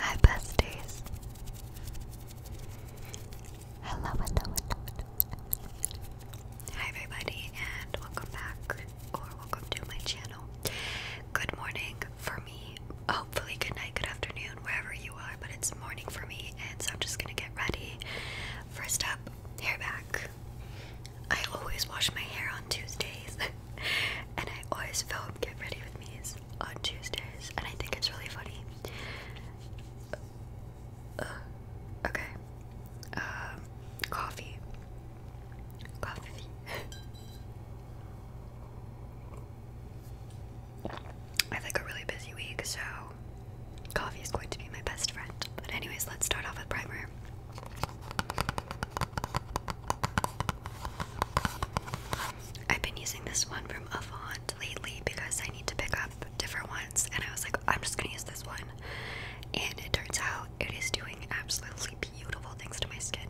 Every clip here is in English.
Hi, besties. Hello, hello, hello, hello. Hi, everybody, and welcome back, or welcome to my channel. Good morning for me. Hopefully, good night, good afternoon, wherever you are, but it's morning for me, and so I'm just gonna get ready. First up, hair back. I always wash my hair on Tuesdays. and I always film Get Ready With Me's on Tuesdays, and I think it's really funny. Uh, okay. Um, coffee. Coffee. I have like a really busy week, so coffee is going to be my best friend. But anyways, let's start off with primer. I've been using this one from Avant lately because I need to pick up different ones, and I was like, I'm just gonna use this one. And it turns out it is doing absolutely beautiful things to my skin.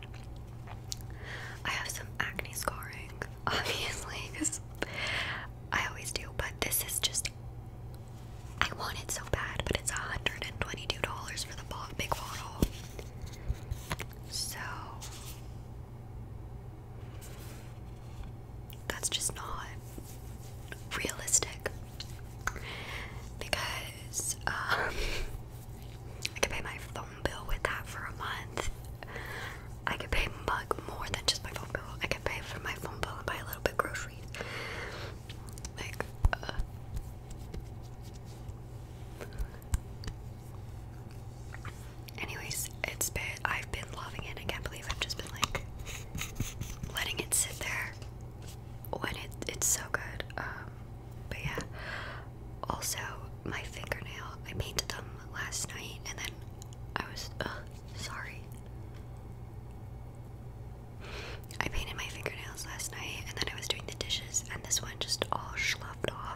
I have some acne scarring, obviously, because I always do, but this is just. I want it so bad, but it's $122 for the big bottle. So that's just not realistic because um, I could pay my phone bill with that for a month. I could pay mug more than just my phone bill. I could pay for my phone bill and buy a little bit groceries. Like, uh, Anyways, it's been I've been loving it. I can't believe I've just been like letting it sit there when it it's so good. Um, but yeah. Also, my fingernail. I painted them last night, and then I was sorry. I painted my fingernails last night, and then I was doing the dishes, and this one just all sloughed off.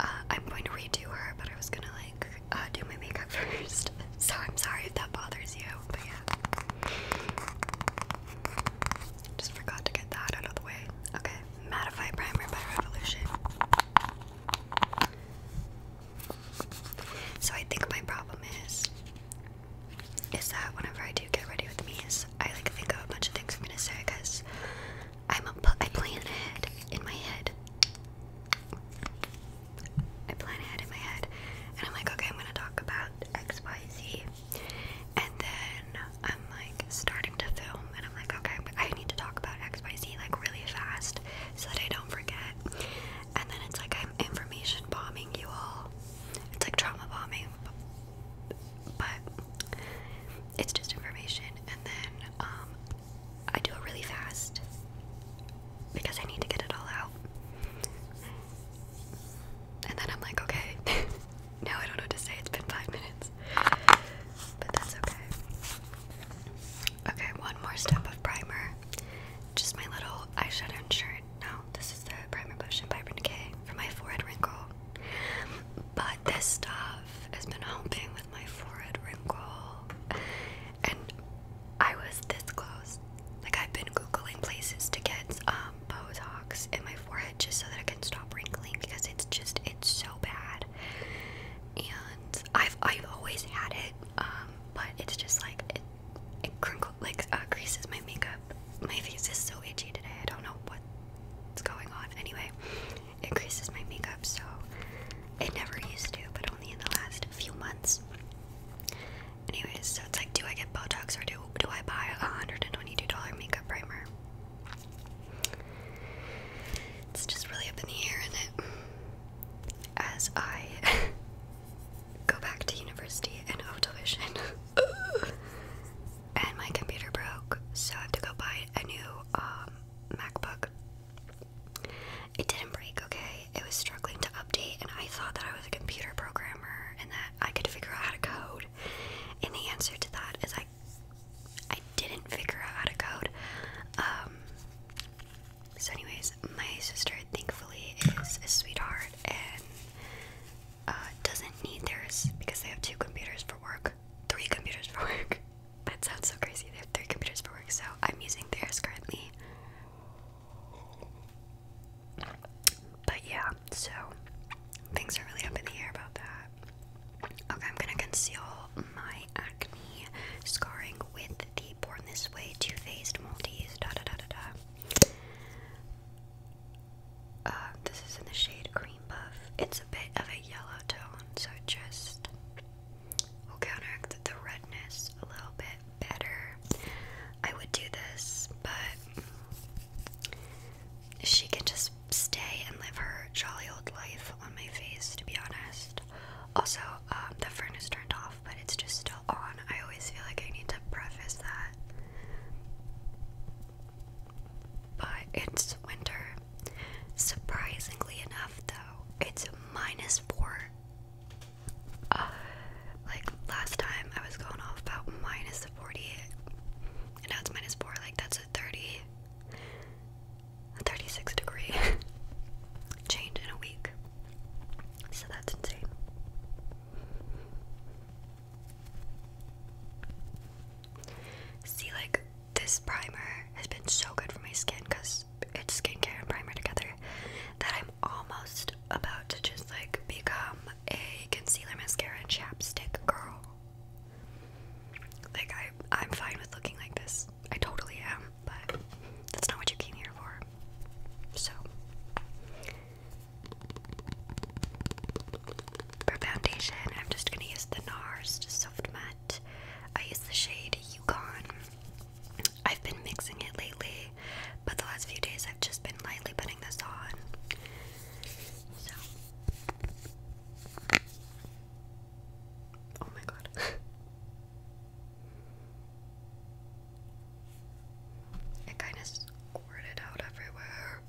Uh, I'm going to redo her, but I was gonna like uh, do my makeup first. so I'm sorry if that bothers you, but yeah. Just forgot to get that out of the way. Okay, Mattify Primer by Revolution. So I think my problem is, is that whenever I do get ready with me's, I like think of a bunch of things I'm gonna say because I'm a I plan ahead in my head. I plan ahead in my head, and I'm like, okay, I'm gonna talk about X, Y, Z, and then I'm like starting to film, and I'm like, okay, I need to talk about X, Y, Z like really fast so that I don't forget. And then it's like I'm information bombing you all. It's like trauma bombing, but it's just information. And then um, I do it really fast because I need to get it all out. And then I'm like, okay, now I don't know what to say. It's been five minutes, but that's okay. Okay, one more step of primer. Just my little eyeshadow and shirt. No, this is the primer potion by Urban Decay for my forehead wrinkle. But this stuff has been helping with my forehead wrinkle. And I was this close. Like I've been googling places to get um, Botox in my forehead just so that I can stop wrinkling because it's just it's so bad. And I've I've always had it, um, but it's just like it it crinkle like uh, creases my makeup. My face is so itchy today. I don't know what what's going on. Anyway, it creases my makeup, so it never used to, but only in the last few months. Anyways, so it's like, do I get Botox or do do I buy a hundred and twenty-two dollar makeup primer? It's just really up in the air, is As I go back to university and auto and my computer broke, so I have to go buy a new um, MacBook. It didn't break, okay? It was struggling to update, and I thought that I was a computer programmer and that I could figure out how to code. And the answer to that is I, I didn't figure out how to code. Um, so, anyways, my sister thankfully is a sweetheart and uh, doesn't need theirs because they have two computers for work three computers for work. That sounds so crazy. They have three computers for work, so I'm using theirs currently. But yeah, so things are really up in the air about that. Okay, I'm gonna conceal my acne scarring with the Born This Way Too Faced Maltese. Da da da da da. Uh, this is in the shade Cream Buff. It's a bit of a yellow tone, so just will counteract the redness a little bit better. I would do this, but she can just stay and live her jolly old life on my face, to be honest. Also, um, the furnace turned off, but it's just still on. I always feel like I need to preface that. But it's winter. Surprisingly enough, though, it's minus four. like last time, I was going off about minus 40, and now it's minus four. Like that's a 30, a 36 degree change in a week. So that's insane. See, like this primer has been so good for my skin because it's skincare and primer together that I'm almost about to just like become a concealer, mascara, and chapstick girl. Like I, I'm fine with looking like this. I totally am, but that's not what you came here for. So. For foundation, I'm just going to use the NARS Soft Matte. I use the shade Yukon. I've been mixing it lately, but the last few days I've just been lightly putting this on. Oh my god. it kind of squirted out everywhere.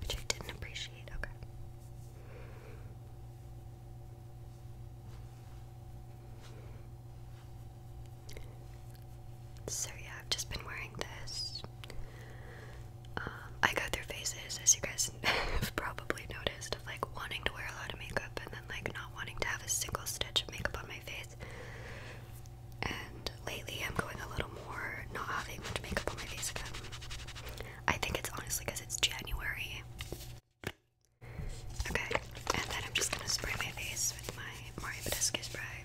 Which I didn't appreciate, okay. So yeah, I've just been wearing this. Um, I go through phases, as you guys have probably noticed, of like wanting to wear a lot of makeup and then like not wanting to have a single stitch of makeup on my face. And lately, I'm going a little more not having much makeup on my face again. I think it's honestly because it's January. Okay, and then I'm just gonna spray my face with my Mario Badescu spray.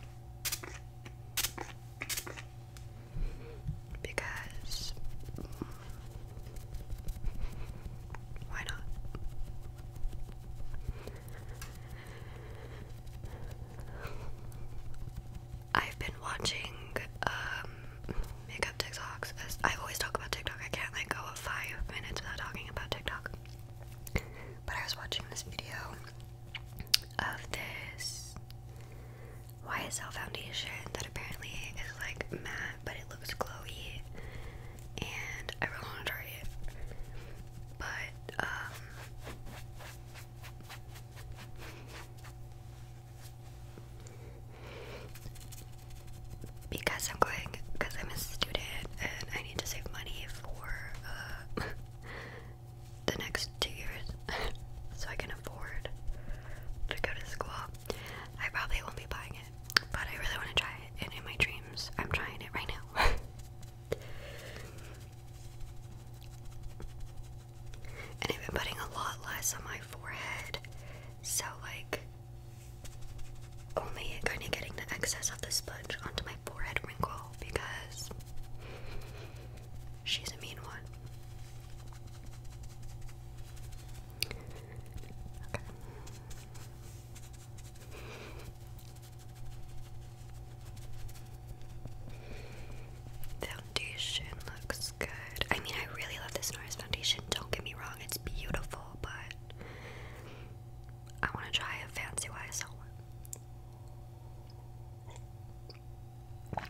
Because. Why not? I've been watching um, makeup TikToks. I always talk about TikTok. I can't let go of five minutes without talking about TikTok. But I was watching this video of this YSL foundation that apparently is like matte, but it looks glowy, and I really want to try it. But um, because I'm going, because I'm a student and I need to save money for uh, the next two years so I can afford to go to school. I probably won't be buying it, but I really want to try it, and in my dreams, I'm trying it right now. And I've been putting a lot less on my forehead, so like only kind of getting the excess of the sponge onto my forehead wrinkle because she's a mean one. Okay. Foundation looks good. I mean, I really love this NARS foundation. Don't get me wrong, it's beautiful, but I want to try a fancy YSL one.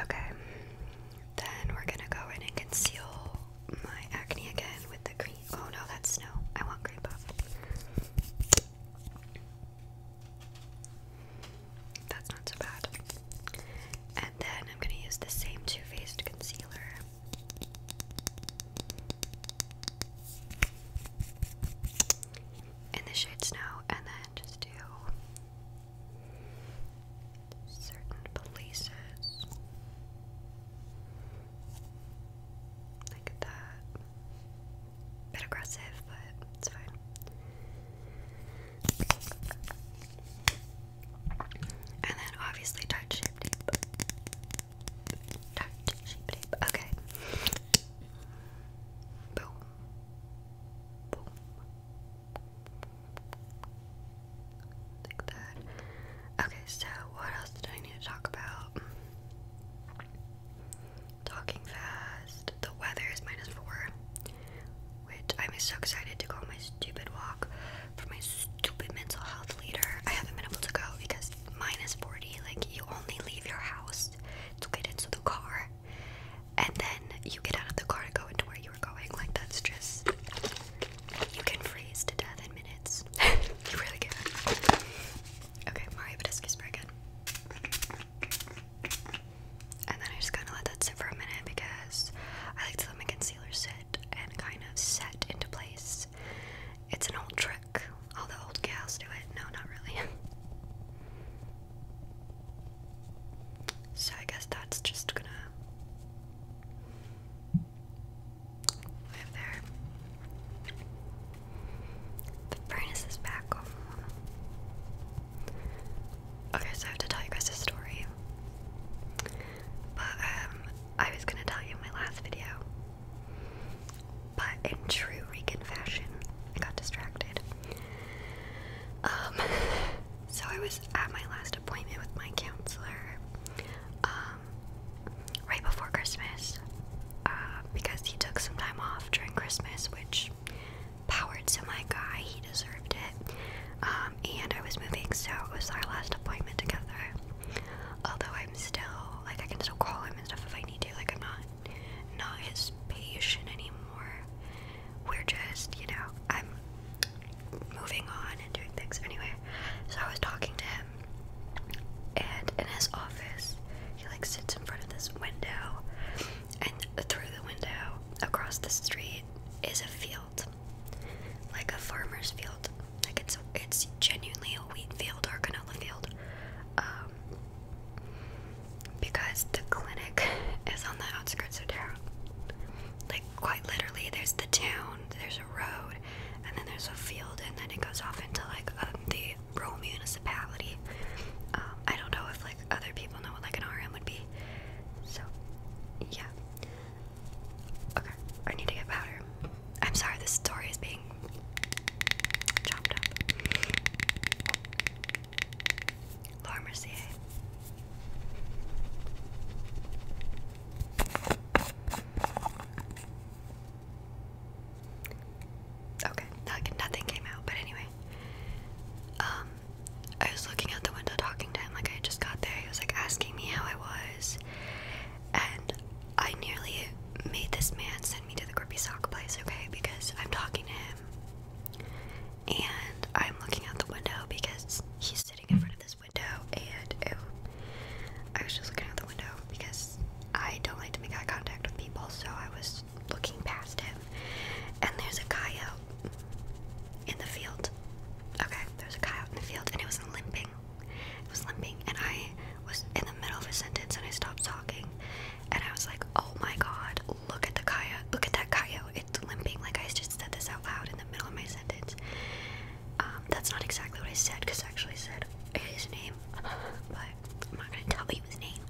Okay, then we're gonna go in and conceal my acne again with the cream. Oh no, that's snow. I want cream puff. That's not so bad. And then I'm going to use the same Too Faced concealer. In the shade Snow, and then just do certain places. Like that. Bit aggressive, but it's fine. And then obviously touch shape Touch shape Okay. Boom. Boom. Like that. Okay, so what else did I need to talk about? talking fast. The weather is minus four, which I'm so excited to go on my stupid walk for my stupid mental health leader. I haven't been able to go because minus 40, like, you only leave your house to get into the car, and then you get out of the car to go into where you are going. Like, that's just. You can freeze to death in minutes. you really can. Okay, Mario Badescu is very And then I just kind of let that sit for a minute because I like to let my concealer sit and kind of set into place. It's an old trick. All the old gals do it. No, not really. so I guess that's just gonna live there. The furnace is back on. Okay, so I have to tell you guys a story. But um, I was gonna tell you in my last video. But in true Regan fashion, I got distracted. Um, so I was at my last appointment with my counselor. Um, right before Christmas uh, because he took some time off during Christmas, which powered to my guy. He deserved it. Um, and I was moving, so it was our last appointment together. Although I'm still like I can still call him and stuff if I need to. Like I'm not not his patient anymore. We're just you know I'm moving on and doing things anyway. So I was talking to him and in his office he like sits in front of this window and through the window across the street is a field like a farmer's field like it's it's genuinely a wheat field or canola field um, because the clinic is on the outskirts of town like quite literally there's the town there's a road and then there's a field and then it goes off into like um, the the municipality. Um, I don't know if like other people know what like an RM would be. So yeah. Okay, I need to get powder. I'm sorry, this story is being chopped up. Laura Mercier. Okay, nothing came out, but anyway. Um, I was looking out the window talking to him, like I just got there. He was like asking me how I was, and I nearly made this man send me to the grippy sock place, okay? Because I'm talking to him, and I'm looking out the window because he's sitting in front of this window, and ew, I was just looking out the window because I don't like to make eye contact with people, so I was looking past him. And there's a guy in the field. Okay, there's a guy out in the field, and it was limping. It was limping, and I was in the middle of a sentence, and I stopped talking, and I was like, "Oh my God! Look at the coyote! Look at that coyote! It's limping!" Like I just said this out loud in the middle of my sentence. Um, that's not exactly what I said, because I actually said his name, but I'm not gonna tell you his name.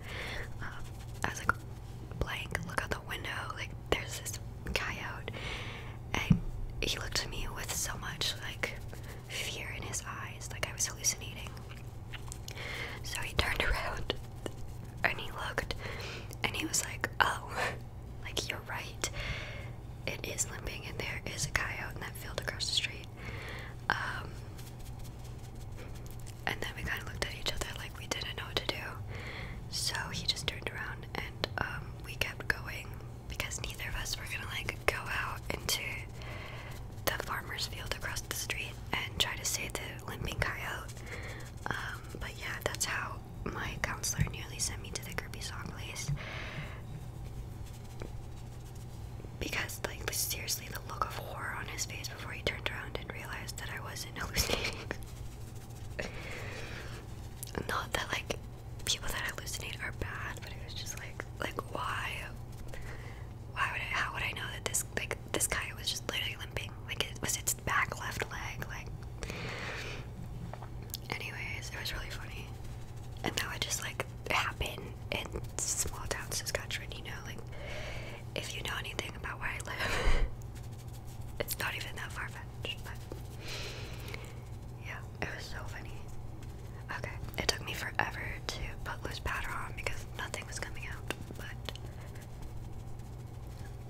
Um, I was like, blank, look out the window, like there's this coyote, and he looked at me with so much like fear in his eyes, like I was hallucinating. So he turned around and he looked, and he was like, oh, like you're right. It is limping, and there is a coyote in that field across the street. Um, and then we kind of looked at each other like we didn't know what to do. So he just turned around and um, we kept going because neither of us were gonna like go out into the farmer's field across the street and try to save the limping coyote. Um, but yeah, that's how my counselor nearly sent me to the Kirby Song place because like seriously the look of horror on his face before he turned around and realized that I wasn't hallucinating. Not that like people that hallucinate are bad, but it was just like like why why would I how would I know that this like this guy was just literally limping? Like it was its back left leg, like anyways, it was really funny. And now I just like happen in small towns, Saskatchewan, you know, like if you know anything about where I live, it's not even that far fetched, but yeah, it was so funny. Okay, it took me forever to put loose powder on because nothing was coming out, but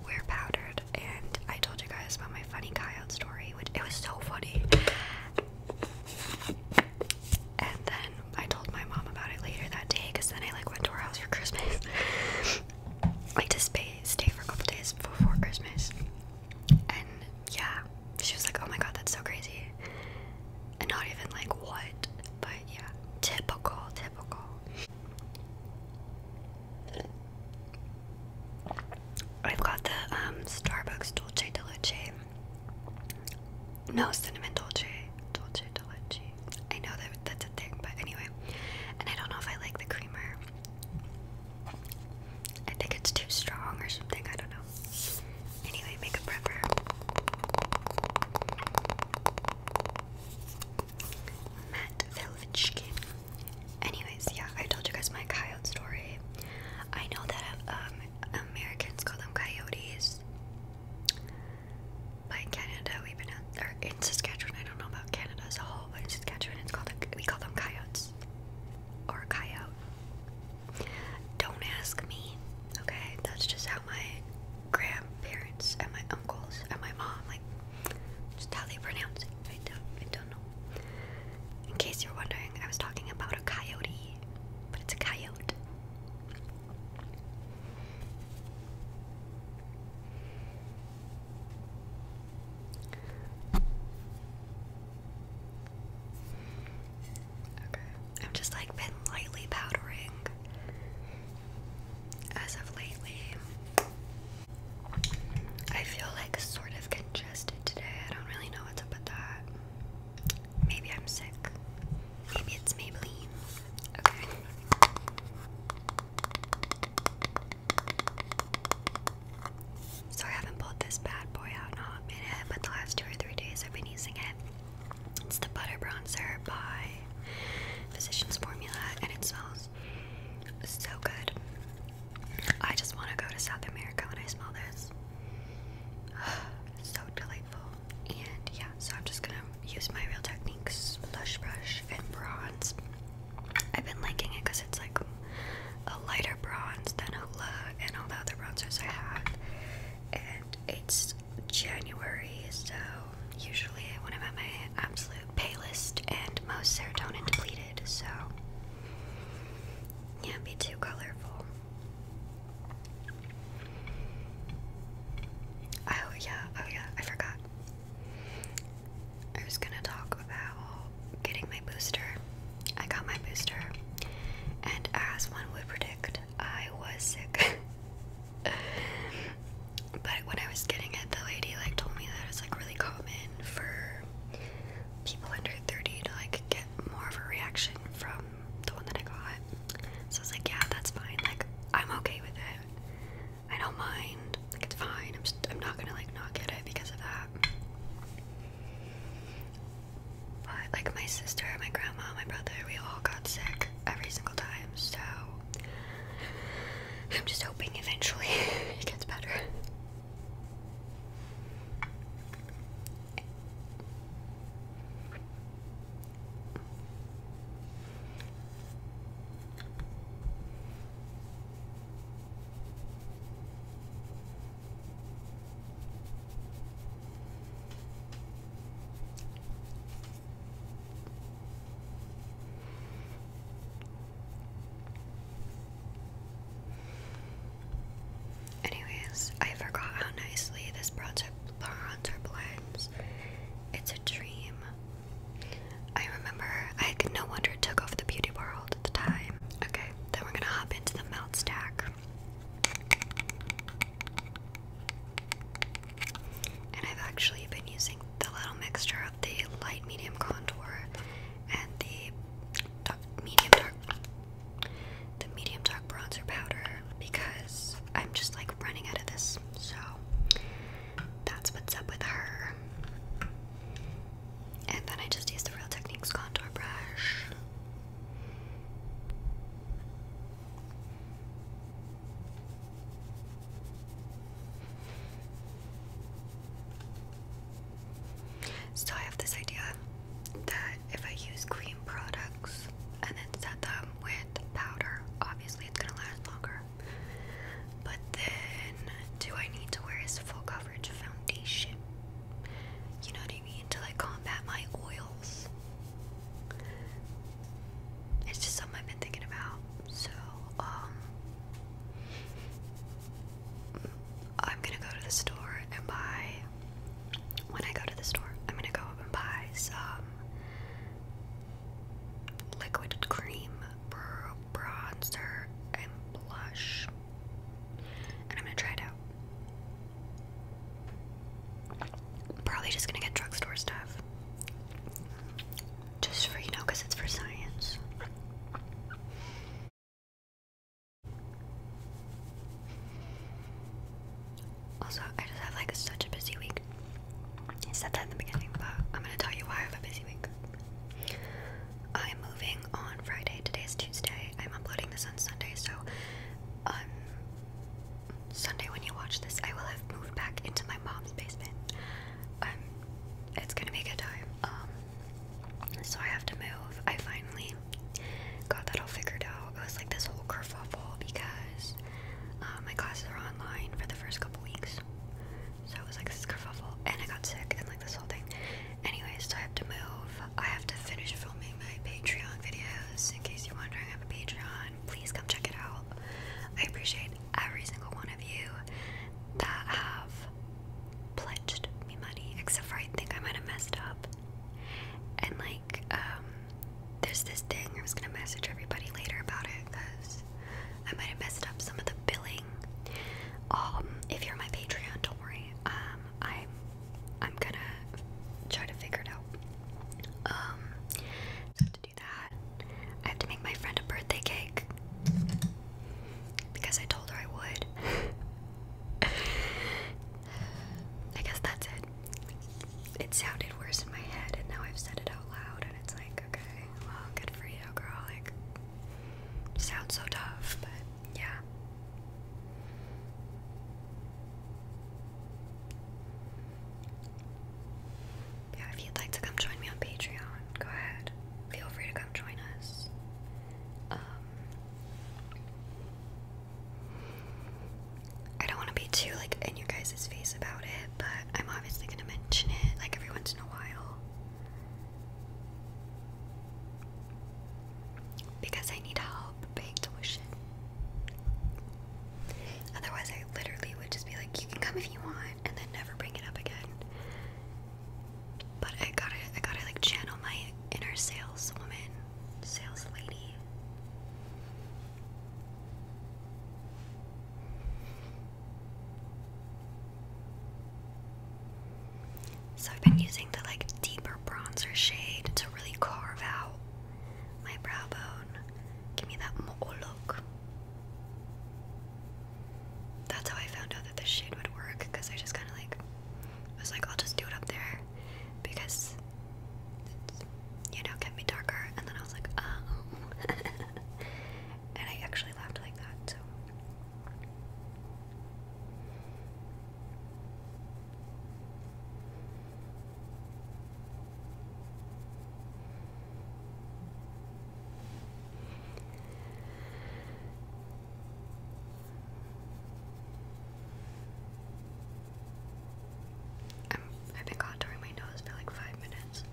we're powdered, and I told you guys about my funny coyote story, which it was so funny. And then I told my mom about it later that day because then I like went to her house for Christmas. like to stay, stay for a couple days before Christmas. And yeah, she was like, oh my god, that's so crazy. And not even like what, but yeah, typical, typical. I've got the um, Starbucks Dolce de no cinnamon dulce, dulce dulce. I know that that's a thing, but anyway. And I don't know if I like the creamer. I think it's too strong or something. I don't know. Anyway, make a Matt Velichkin. Anyways, yeah, I told you guys my coyote story. I know that um, Americans call them coyotes, but in Canada, we pronounce or in Saskatchewan, I don't know about Canada as a whole, but in Saskatchewan, it's called a, we call them coyotes or coyote. Don't ask me, okay? That's just how my grandparents and my uncles and my mom like just how they pronounce it. I don't, I don't know. In case you're wondering, I was talking about a coyote, but it's a coyote. I've just like been lightly powdering as of lately. I feel like sort of congested today. I don't really know what's up with that. Maybe I'm sick. Maybe it's Maybelline. Okay. So I haven't pulled this bad boy out in a hot minute, but the last two or three days I've been using it. It's the Butter Bronzer by Physicians Formula, and it smells so good. I just want to go to South America when I smell this. so delightful. And yeah, so I'm just gonna use my Real Techniques Blush Brush and Bronze. I've been liking it because it's like a lighter bronze than a Hoola and all the other bronzers I have. And it's January, so usually when I'm at my absolute palest and most serotonin depleted, so yeah, be too colorful. Oh, yeah, oh, yeah, I forgot. I was gonna talk about getting my booster. I got my booster, and as one would predict, I was sick. but when I was getting it, the lady like told me that it's like really common for people under 30 to like get more of a reaction from the one that I got. So I was like, yeah, that's fine. Like, I'm okay with it. I don't mind. Like, it's fine. I'm just, I'm not gonna like not get it because of that. But like my sister, my grandma, my brother, we all got sick every single time. So I'm just hoping eventually it gets better. Anyways, I forgot how nicely this project blends. It's a dream. I remember, I no wonder it took off the beauty world at the time. Okay, then we're gonna hop into the melt stack. And I've actually been using the little mixture of the light medium contour and the medium dark the medium dark bronzer powder because I'm just like running out of this. So that's what's up with her. And then I just use the Real Techniques contour brush. So I have this idea that if I use cream products and then set them with powder. Obviously, it's gonna last longer. But then, do I need to wear his full coverage foundation? You know what I mean? To like combat my oils. It's just something I've been thinking about. So, um, I'm gonna go to the store and buy when I go to the store, I'm gonna go up and buy some liquid cream, bronzer, and blush. And I'm gonna try it out. Probably just gonna get drugstore stuff. Just for, you know, it's for science. Also, I just have like such a busy week. I said that in the beginning, but I'm gonna tell you why I have a busy week. I'm moving on Friday. Today is Tuesday. I'm uploading this on Sunday, so um, Sunday when you watch this, I will have moved back into my mom's basement. Um, it's gonna be a good time. Um, so I have to move. I finally got that all figured out. It was like this whole kerfuffle because uh, my classes are online for the first couple weeks, so it was like this kerfuffle, and I got sick and like this whole thing. Anyways, so I have to move. I have to finish filming my Patreon videos. In case you're wondering, I have a Patreon. Please come check it out. I appreciate every single one of you that have pledged me money, except for I think I might have messed up and like um there's this thing. I was gonna message everybody later about it because I might have messed up some of the billing. Um, if you're my Patreon, don't worry. Um, I'm gonna try to figure it out. Um, so to do that, I have to make my friend a birthday cake because I told her I would. I guess that's it it sounded worse in my head, and now I've said it out loud, and it's like, okay, well, good for you, girl. Like, sounds so tough, but yeah. Yeah, if you'd like to come join me on Patreon, go ahead. Feel free to come join us. Um, I don't want to be too like in your guys' face about it, but I'm obviously gonna mention it like every once in a while. Because I need help paying tuition. Otherwise I literally would just be like, you can come if you want and then never bring it up again. But I gotta I gotta like channel my inner saleswoman, sales lady. So I've been using the like deeper bronzer shade to really carve out my brow bone. Give me that mo'o oh, look. That's how I found out that this shade would work because I just kind of like was like, I'll just do it up there because it, you know, kept me darker. And then I was like, uh, oh. and I actually laughed like that, so. I'm, have been contouring my nose for like five minutes,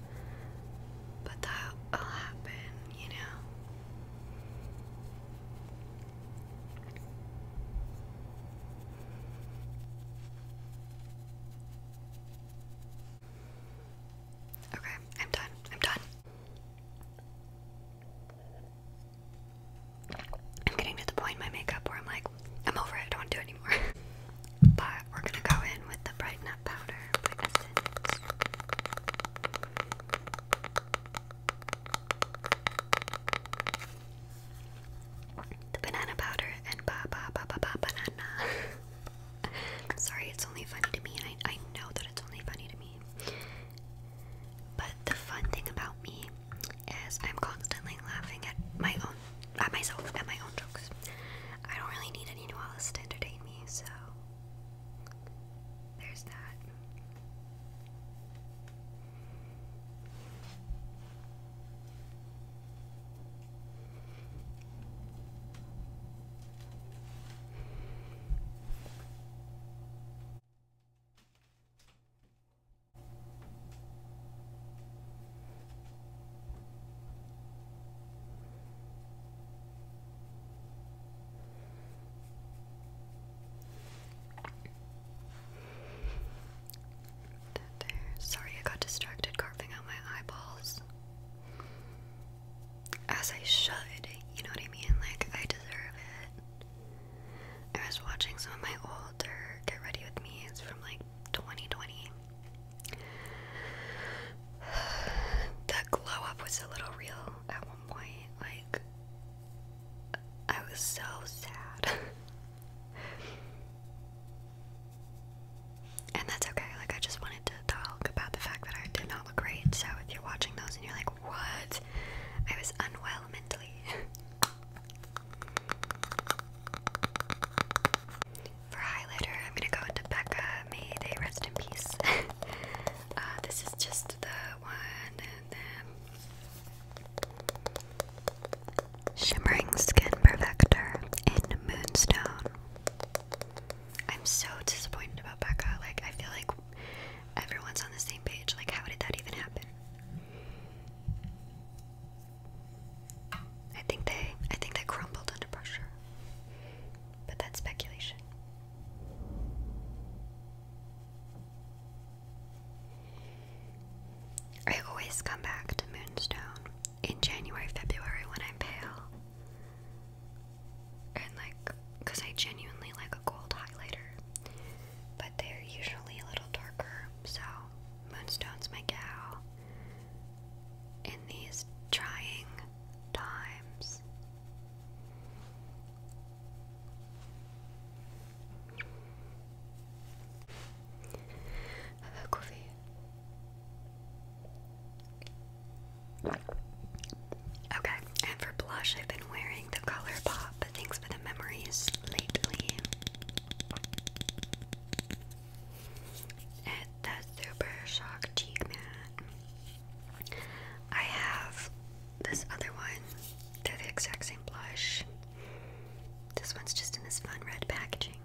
but that'll happen, you know. Okay, I'm done. I'm done. I'm getting to the point my makeup where I'm like, I'm over it, I don't want to do anymore. but we're gonna go in with the Brighten Up Powder The banana powder and ba ba ba ba ba banana. sorry, it's only funny to me, and I, I know that it's only funny to me. But the fun thing about me is I'm constantly laughing at my own, at myself, at my own jokes. I don't really need any new allies to entertain me, so there's that. Sorry, I got distracted carving out my eyeballs. As I should, you know what I mean? Like, I deserve it. I was watching some of my old. Get Ready With Me. It's from like 2020. that glow up was a little real at one point. Like, I was so sad. and that's okay. Like, I just wanted to talk about the fact that I did not look right. So, if you're watching those and you're like, what? I was unwell mentally. For highlighter, I'm gonna go into Becca. May they rest in peace. Uh, this is just the one and then Shimmering Skin Perfector in Moonstone. I'm so disappointed about Becca. Like I feel like everyone's on the same page. Like how did that even happen? I think they I think they crumbled under pressure. But that's speculation. I always come back to Moonstone in January, February when I'm pale. And like because I genuinely like a gold highlighter. But they're usually a little darker, so Moonstone's my gal in these trying times. Okay, and for blush, I've been wearing the color Thanks for the memories lately the Super Shock Cheek Matte. I have this other one. They're the exact same blush. This one's just in this fun red packaging.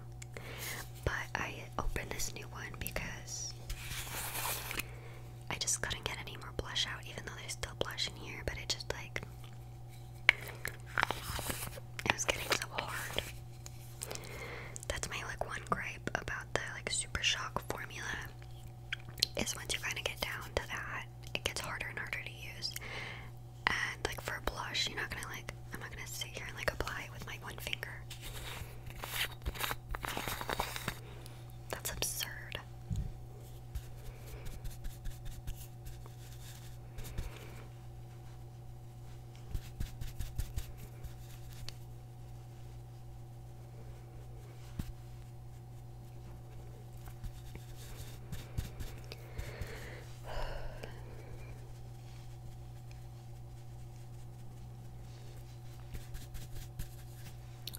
But I opened this new one because I just couldn't get any more blush out, even though there's still blush in here, but it just like. It was getting so hard. That's my like one gripe about the like super shock formula is once you kind of get down to that, it gets harder and harder to use. And like for a blush, you're not gonna like I'm not gonna sit here and like apply it with my one finger. That's absurd.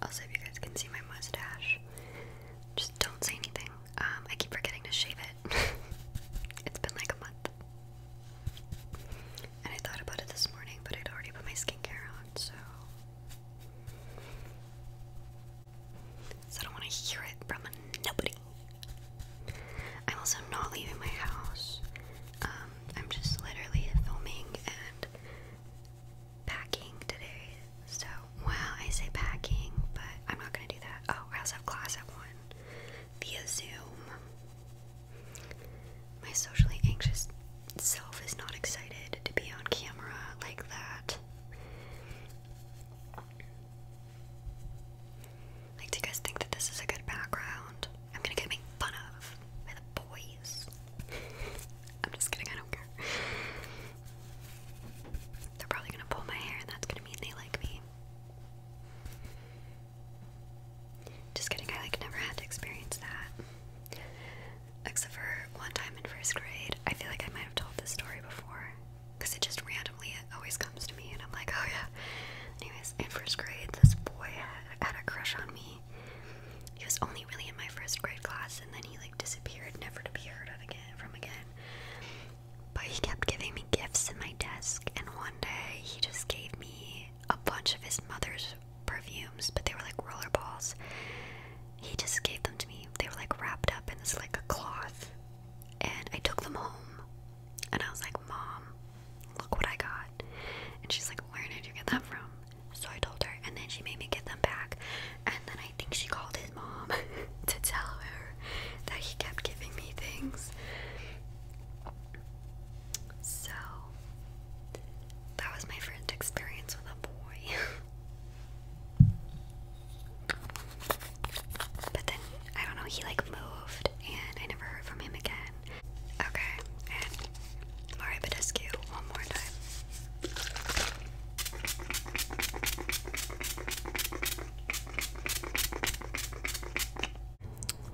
Also, if you guys can see my mustache, just don't say anything. Um, I keep forgetting to shave it. it's been like a month. And I thought about it this morning, but I'd already put my skincare on, so. So I don't want to hear it from nobody. I'm also not leaving my house. Um, I'm just literally filming and packing today. So, well, I say packing, but I'm not gonna do that. Oh, I also have class at 1 via Zoom. My socially anxious self is not excited to be on camera like that. Like, do you guys think that this is a good background? I'm gonna get made fun of by the boys. I'm just kidding, I don't care. They're probably gonna pull my hair, and that's gonna mean they like me. Just kidding, I like never had to experience that. Except for one time in first grade. I feel like I might have told this story before. Because it just randomly always comes to me and I'm like, oh yeah. Anyways, in first grade this boy had, had a crush on me. He was only really in my first grade class and then he like disappeared, never to be heard of again from again. But he kept giving me gifts in my desk, and one day he just gave me a bunch of his mother's perfumes, but they were like roller balls. He just gave them to me. They were like wrapped up in this like a cloth. And I took them home, and I was like, Mom, look what I got. And she's like, Where did you get that from? So I told her, and then she made me get them back. And then I think she called his mom to tell her that he kept giving me things. So, that was my first experience with a boy. but then, I don't know, he like moved and I never heard from him again. Okay, and Mario one more time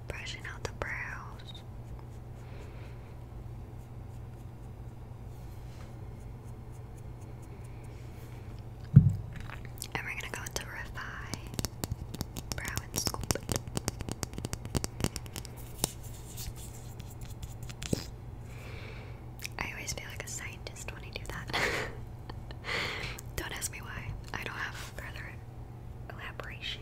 brushing out the brows. And we're gonna go into Refine Brow and Sculpt. I always feel like a scientist when I do that. don't ask me why. I don't have further collaboration.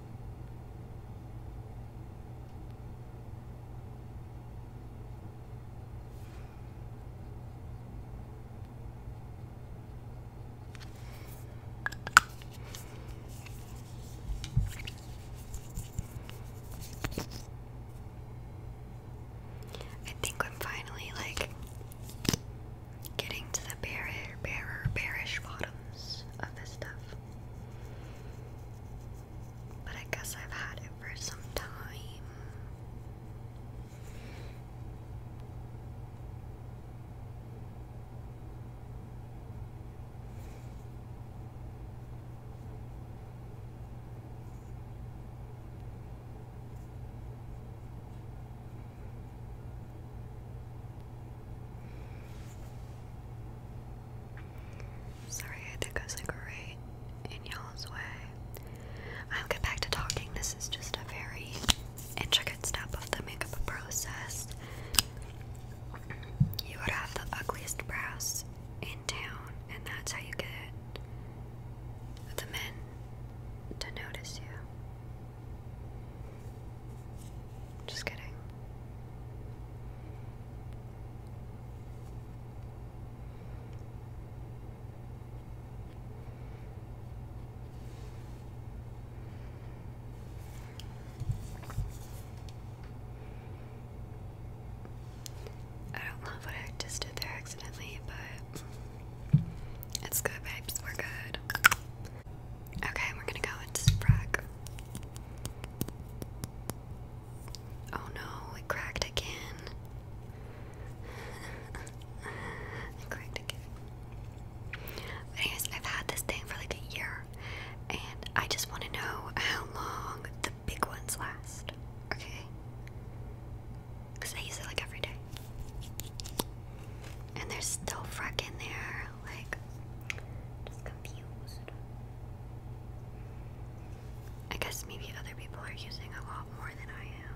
I think I'm finally like getting to the bare, bare, bearish bottoms of this stuff. But I guess I've had it for some time. Sorry, I think I was like right in y'all's way. I'll get back to talking. This is just a very intricate step of the makeup process. You would have the ugliest brows in town, and that's how you get the men to notice you. Just kidding. I don't love what I just did there accidentally, but it's good, babes. We're good. Okay, we're gonna go into Sprague. Oh no, it cracked again. it cracked again. But anyways, I've had this thing for like a year, and I just want to know how long the big ones last. Okay? Because I use it like every day. And there's still Freck there. Like, just confused. I guess maybe other people are using a lot more than I am.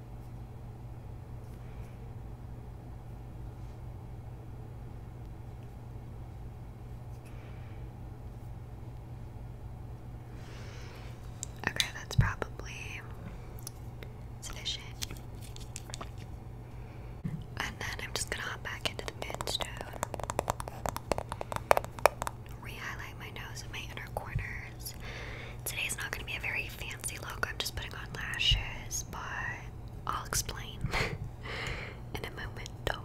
Okay, that's probably sufficient. And then I'm just gonna hop back into the pinstone. Re-highlight my nose and my inner corners lashes. Today's not going to be a very fancy look, I'm just putting on lashes, but I'll explain in a moment though.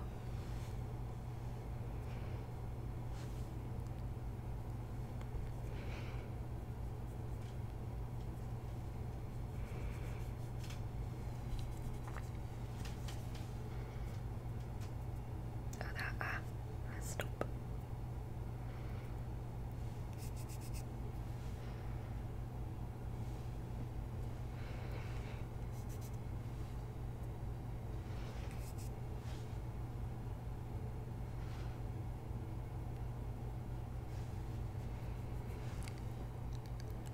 Oh, ah, messed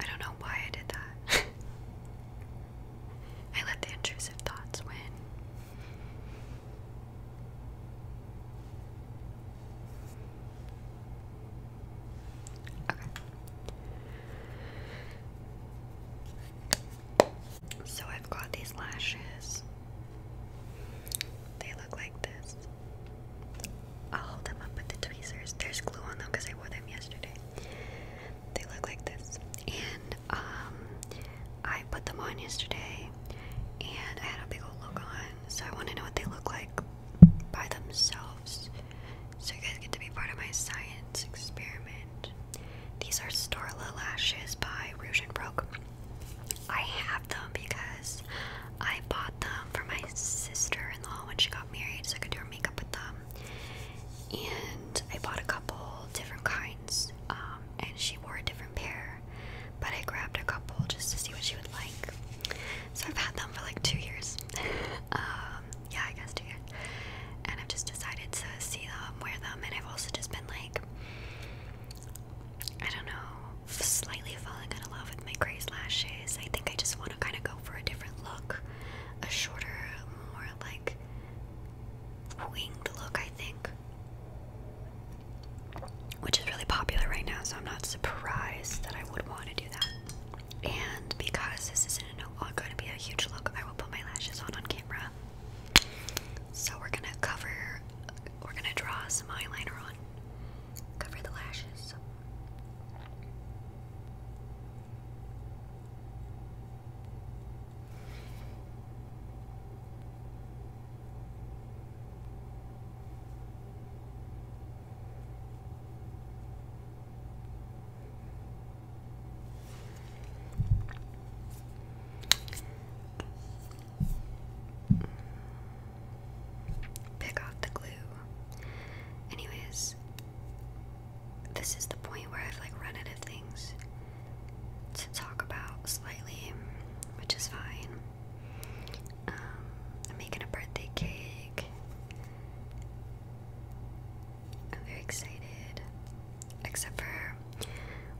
I don't know why I did that. I let the intrusive thoughts win. So I've got these lashes. They look like this. I'll hold them up with the tweezers. There's glue on them because I wore them yesterday. They look like this. And um I put them on yesterday and I had a big old look on so I want to know what they look like by themselves. So you guys get to be part of my science experiment. These are Starla lashes by Rouge Broke. I have them because I bought them for my sister-in-law when she got married, so I could do her makeup with them. And I bought a couple different kinds, um, and she wore a different pair but I grabbed a couple just to see what she would like. So I've had them for like two years. Um, yeah, I guess two years. And I've just decided to see them, wear them, and I've also just been like, I don't know, slightly falling in love with my gray lashes. I think I just want to kind of go for a different look, a shorter, more like winged look, I think which is really popular right now, so I'm not surprised that I would want to do that. And because this isn't going to be a huge look, I will put my lashes on on camera. So we're gonna cover, we're gonna draw some eyeliner on, cover the lashes. Pick off the glue. Anyways, this is the point where I've like run out of things to talk about slightly, which is fine. Um, I'm making a birthday cake. I'm very excited. Except for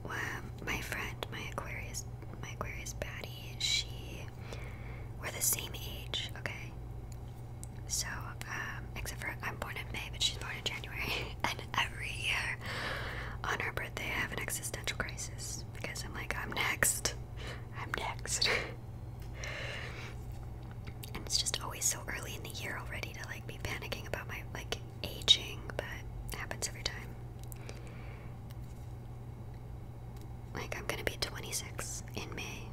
um, my friend, my Aquarius, my Aquarius baddie. She we're the same age, okay? So, um, except for I'm born in May, but she's born in January, and every year on her birthday I have an existential crisis because I'm like, I'm next. I'm next. and it's just always so early in the year already to like be panicking about my like aging, but it happens every time. Like I'm gonna be 26 in May.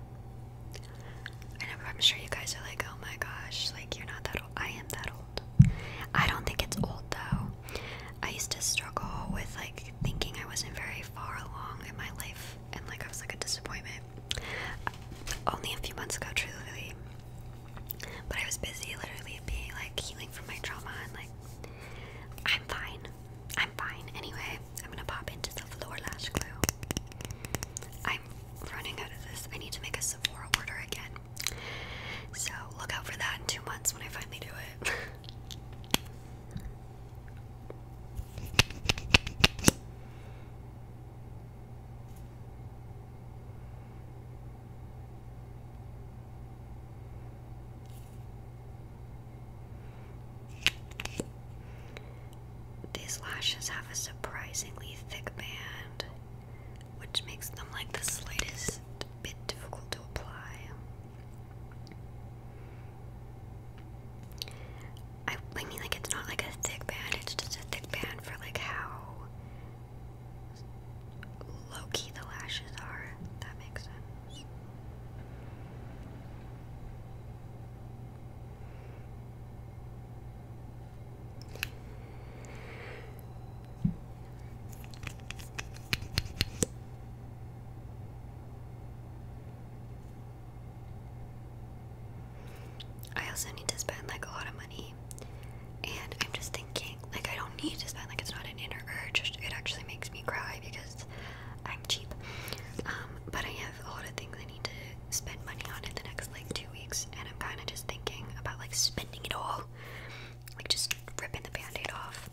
I I'm sure you guys are like, oh my gosh, like you're not that old. I am that old. I don't think it's old though. I used to struggle with like thinking I wasn't very far along in my life and like I was like a disappointment. Only a few months ago, truly. But I was busy literally being like healing from my trauma and like I'm fine. I'm fine. Anyway, I'm gonna pop into the lower lash glue. I'm running out of this. I need to make a Sephora order again. So look out for that in two months when I finally do it. These lashes have a surprisingly thick band, which makes them like the slightest bit difficult to apply. I, I mean, like, it's not like a thick band, it's just a thick band for like how low key the lashes are. that makes sense. I also need to spend like a lot of money, and I'm just thinking like I don't need to spend like it's not an inner urge. It actually makes me cry because I'm cheap. Um, but I have a lot of things I need to spend money on in the next like two weeks, and I'm kind of just thinking about like spending it all, like just ripping the band-aid off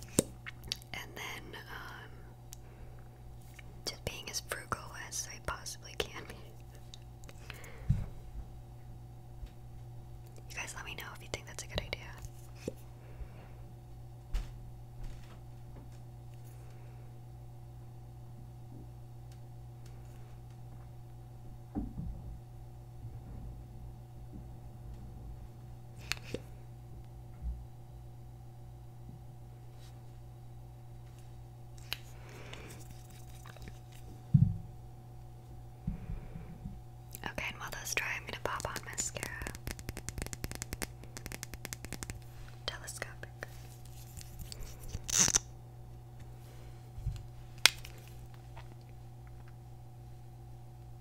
and then um, just being as frugal as I possibly can You guys let me know if you think that's a good idea. Okay, while those dry, I'm going to pop on mascara. Telescopic.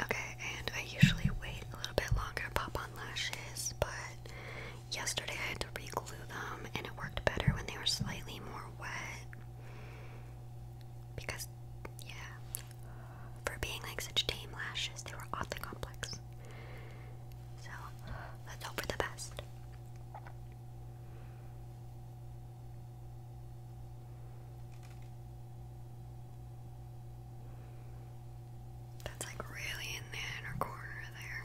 Okay, and I usually wait a little bit longer, pop on lashes, but yesterday I had to re-glue them, and it worked better when they were slightly more wet. Because, yeah, for being like such tame lashes, they were oddly complex. So let's hope for the best. That's like really in the inner corner there.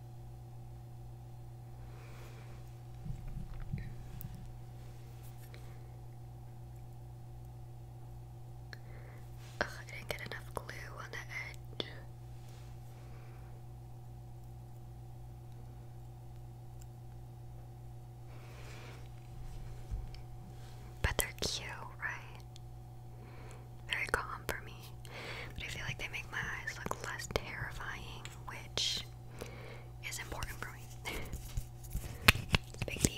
Ugh, I didn't get enough glue on the edge. But they're cute, right? Very calm for me. But I feel like they make my eyes look less terrifying, which is important for me. big deal.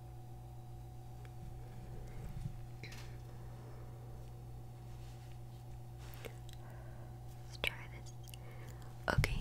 Let's try this again.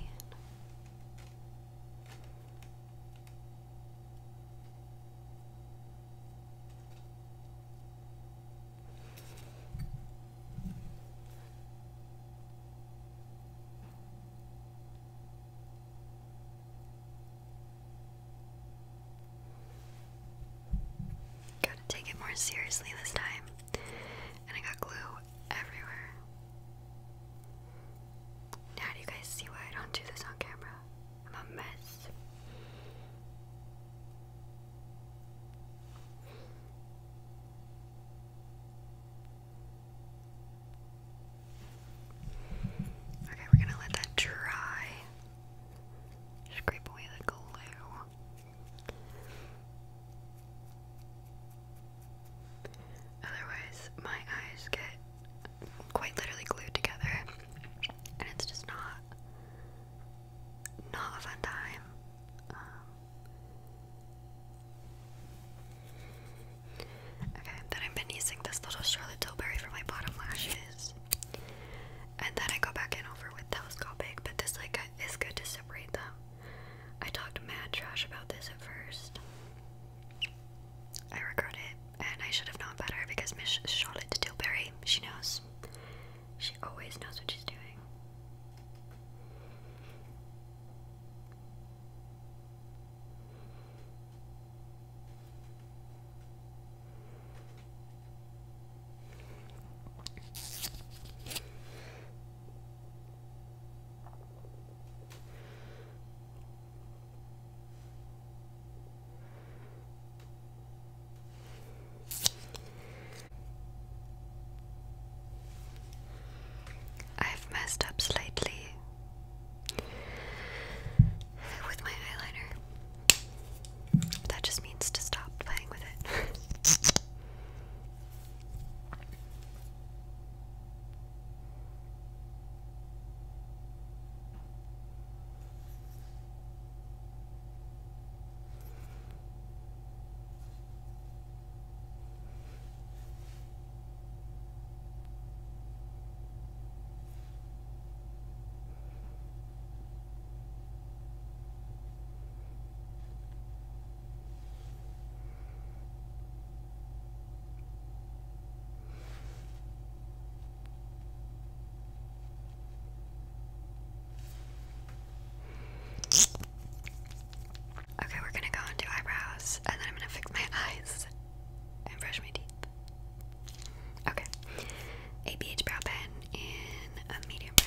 Gotta take it more seriously this time. And I got glue everywhere. Now, do you guys see why I don't do this on camera? I'm a mess. Okay, we're gonna let that dry. Scrape away the glue. Otherwise, my eyes get quite literally glued together, and it's just not not a fun time. Um, okay, then I've been using this little Charlotte Tilbury for my bottom lashes. And then I go back in over with telescopic, but this like is good to separate them. I talked mad trash about this at first. I regret it, and I should have known better because Miss Charlotte Tilbury, she knows. She always knows what she's doing. I've messed up slightly with my eyeliner. that just means to stop playing with it. Okay, we're gonna go and do eyebrows, and then I'm gonna fix my eyes and brush my teeth. Okay. A BH brow pen and a medium brow.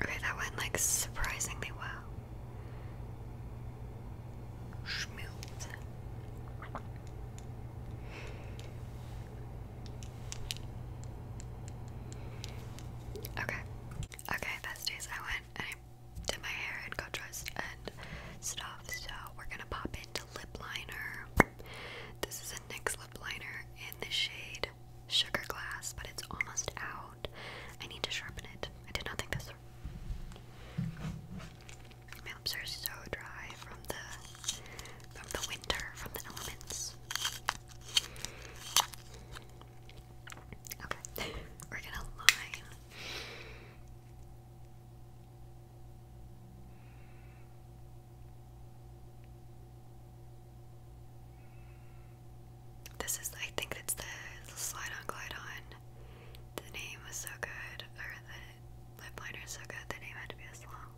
Okay, that went like surprisingly well. Schmilz. Okay. Okay, besties, I went and did my hair and got dressed and stuff, so we're gonna pop into lip liner. This is a NYX lip liner in the shade sugar glass, but it's almost out. I need to sharpen it. I did not think this. My lips are so dry from the from the winter, from the elements. Okay, we're gonna line. This is, I think it's the, Slide On Glide On. The name was so good, or the lip liner was so good, the name had to be this long.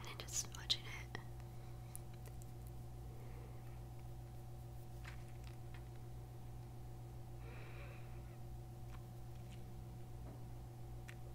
And i just watching it.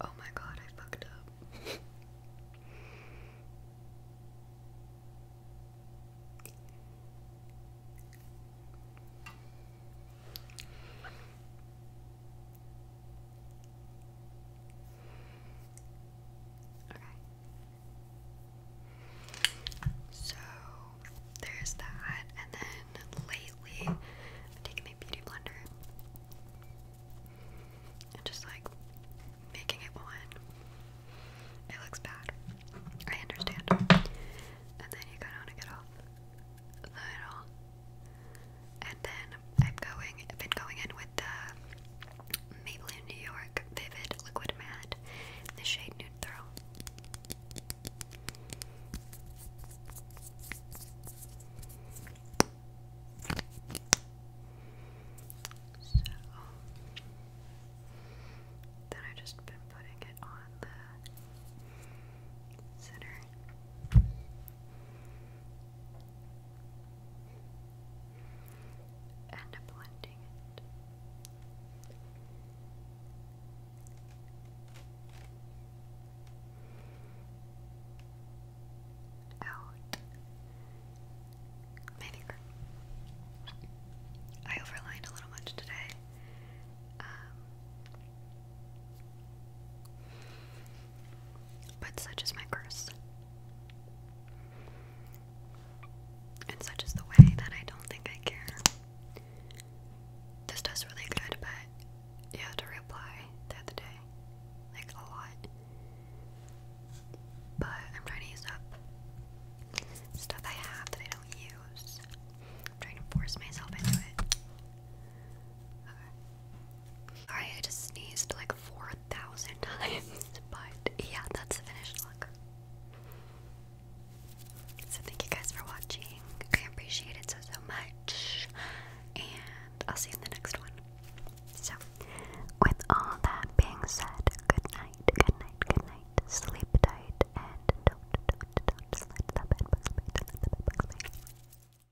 Oh, my God, I fucked up. Okay. So there's that. And then lately, I'm taking my beauty blender and just like making it one. It looks bad. I understand. And then you kind of want to get off and then I'm going, I've been going in with the uh, Maybelline New York Vivid Liquid Matte, the shade Nude Throw. then I just been putting it on the center and blending it. Out vinegar. I overlined a little much today. Um, but such is my curse. And such is the way that I don't think I care. This does really good, but you had to reply the other day. Like a lot. But I'm trying to use up stuff I have that I don't use. I'm trying to force myself into it. I just sneezed like 4,000 times, but yeah, that's the finished look. So thank you guys for watching. I appreciate it so, so much. And I'll see you in the next one. So, with all that being said, good night, good night, good night. Sleep tight and don't, don't, don't, don't slide the bed bugs, the bed